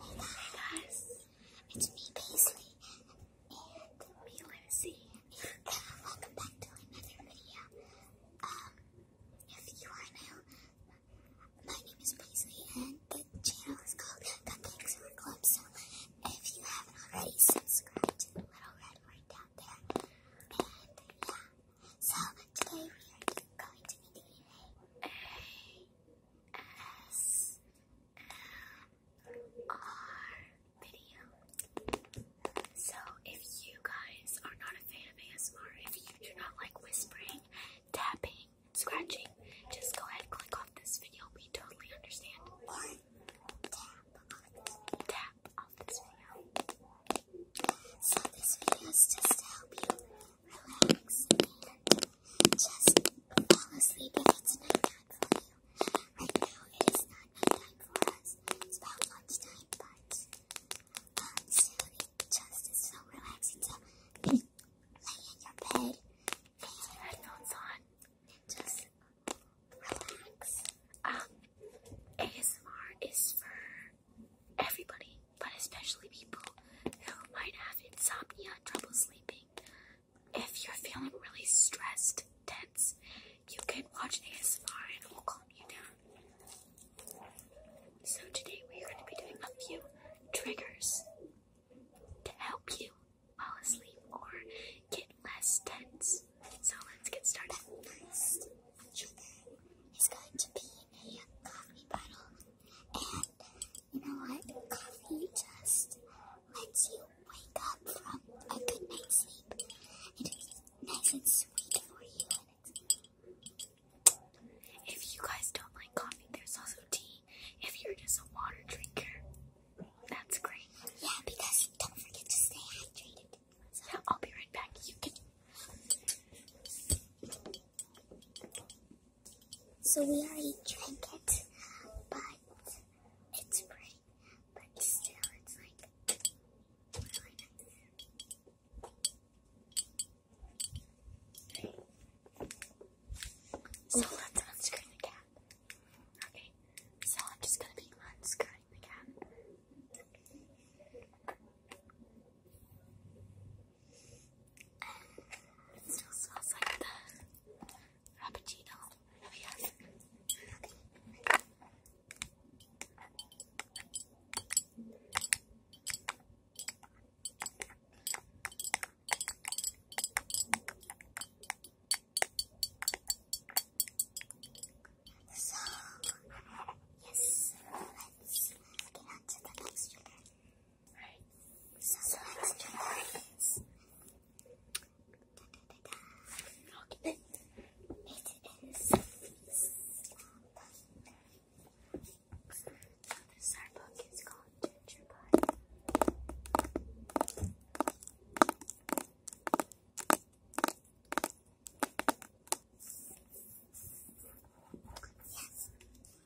Hey guys, it's me Paisley and me Lucy. welcome back to another video. Um, if you are new, my name is Paisley and the channel is called The Pixar Club. So if you haven't already, subscribe little red right down there. And yeah, so today we are going to be doing video. So if you guys are not a fan of ASMR, if you do not like whispering, tapping, scratching, just go ahead and click off this video. We totally understand. tap off this video. So this video is just to help you just fall asleep if it's nighttime for you. Right now it is not nighttime for us. It's about lunchtime, but um, just is so relaxing to lay in your bed, face headphones on, and just relax. Um, ASMR is for everybody but especially people who might have insomnia, trouble sleeping. If you're feeling really stressed, tense, you can watch ASMR and it will calm you down. So today we're going to be doing a few triggers to help you fall asleep or get less tense. So let's get started. First going to be a coffee bottle and you know what? Coffee just lets you wake up from a good night's sleep. It is nice and sweet for you. If you guys don't like coffee, there's also tea. If you're just a water drinker, that's great. Yeah, because don't forget to stay hydrated. I'll be right back. You can. So we already drank it, but it's pretty, but still it's like So let's unscrew the cap. Okay, so I'm just gonna be unscrewing the cap. It still smells like the Frappuccino. Oh, yes. So, yes, let's get on to the next trigger. So let's do this. Okay. It is this our book is called Ginger Yes.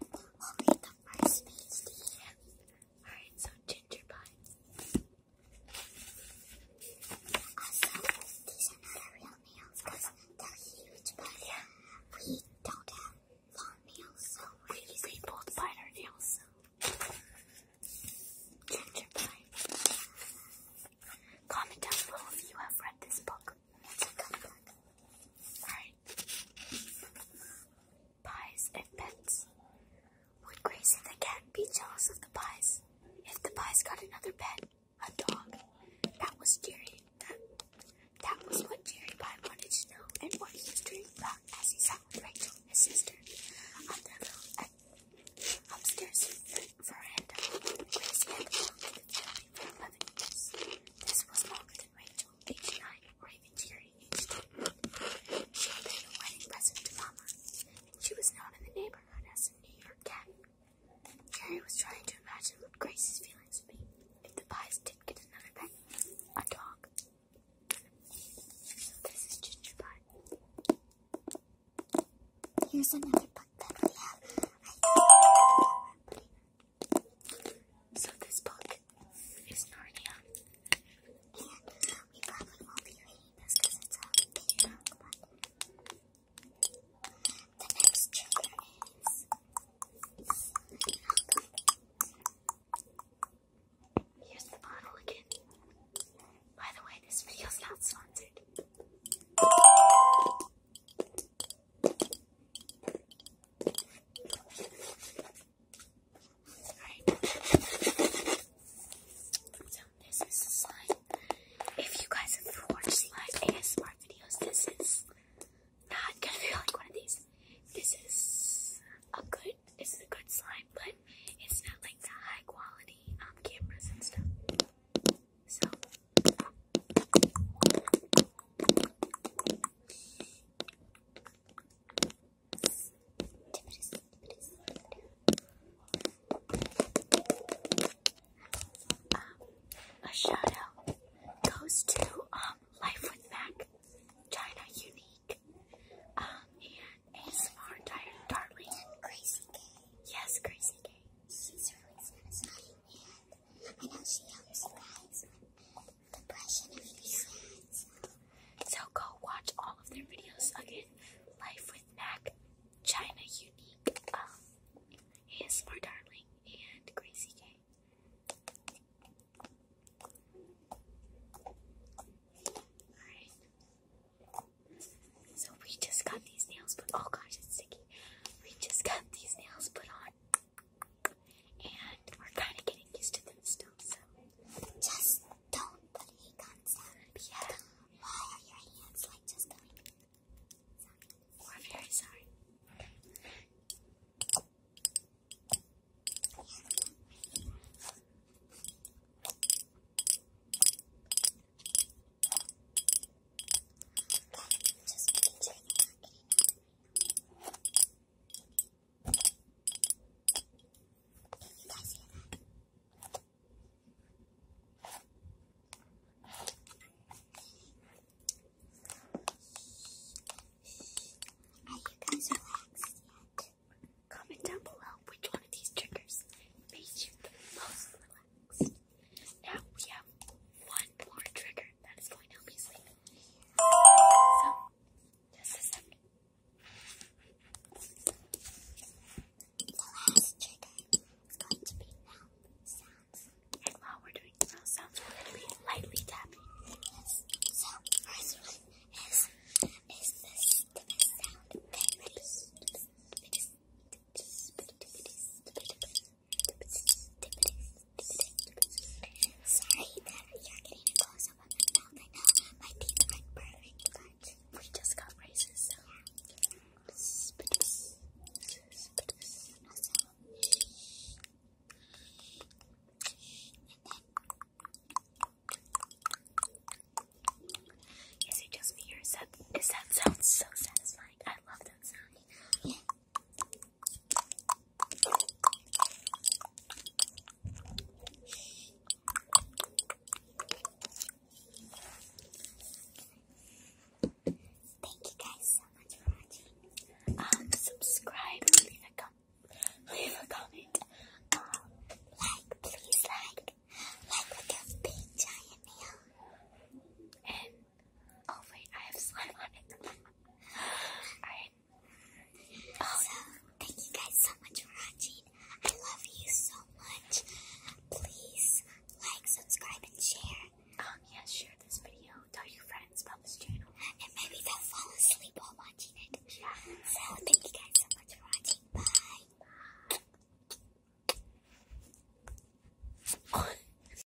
We'll read the first page to here. Alright, so ginger pie. these are not real nails they're huge, we don't have long nails, so we, we both bite our nails, so. Ginger pie. Comment down below if you have read this book pies and pets. Would Grayson the cat be jealous of the pies? If the pies got another pet, a dog. That was Jerry. That, that was what Jerry Pie wanted to know and what he was dreaming about as he sat with Rachel, his sister, on their little upstairs veranda. Grayson had been with the family for 11 years. This was longer than Rachel 59 Raven Cherry Instant. She had been a wedding present to Mama, and she was known in the neighborhood as a New York cat. Jerry was trying to imagine what Grace's feelings would be if the pies did get another pet, a dog. This is Ginger Here's another book that we have. I think so this book is Narnia. And we probably won't be reading this because it's a big the next chapter is Here's the bottle again. By the way, this video's not sponsored. So this is slime. If you guys have watched slime ASMR videos, this is not gonna be like one of these. This is a good this is a good slime, but it's not like the high quality um cameras and stuff. So a shout out goes to um, Life with Mac, China Unique, um, and ASMR Dire Darling. Crazy K. Yes, Crazy K. She's really satisfying. And and now she helps pets brush and babies. So go watch all of their videos again. Life with Mac, China Unique, um, ASMR Darling, and Gracie K. Alright. So we just got these nails put. Oh gosh, it's sticky. We just got these nails put on. And we're kind of getting used to them still, so just don't put any guns Why are your hands like just going? We're very sorry. Are you guys relaxed yet? Comment down below which one of these triggers makes you the most relaxed. Now we have one more trigger that is going to help you sleep. So, just a The last trigger is going to be mouth sounds. And while we're doing mouth sounds, we're going to be lightly tapping. So, first one is, is this sound. Sorry that you're getting a close up on my mouth. I know my teeth aren't perfect, we just got braces, so. Yes, it just me. Your set. Is that sounds so satisfying? I love that sound. Thank you guys so much for watching. Um, subscribe, leave a comment, leave a comment. Um, like, please like, like with your big giant nail. And Oh wait, I have slime on it. Oh, so, thank you guys so much for watching. I love you so much. Please like, subscribe, and share. Um, yeah, share this video. Tell your friends about this channel. And maybe they'll fall asleep while watching it. So, thank you guys so much for watching. Bye.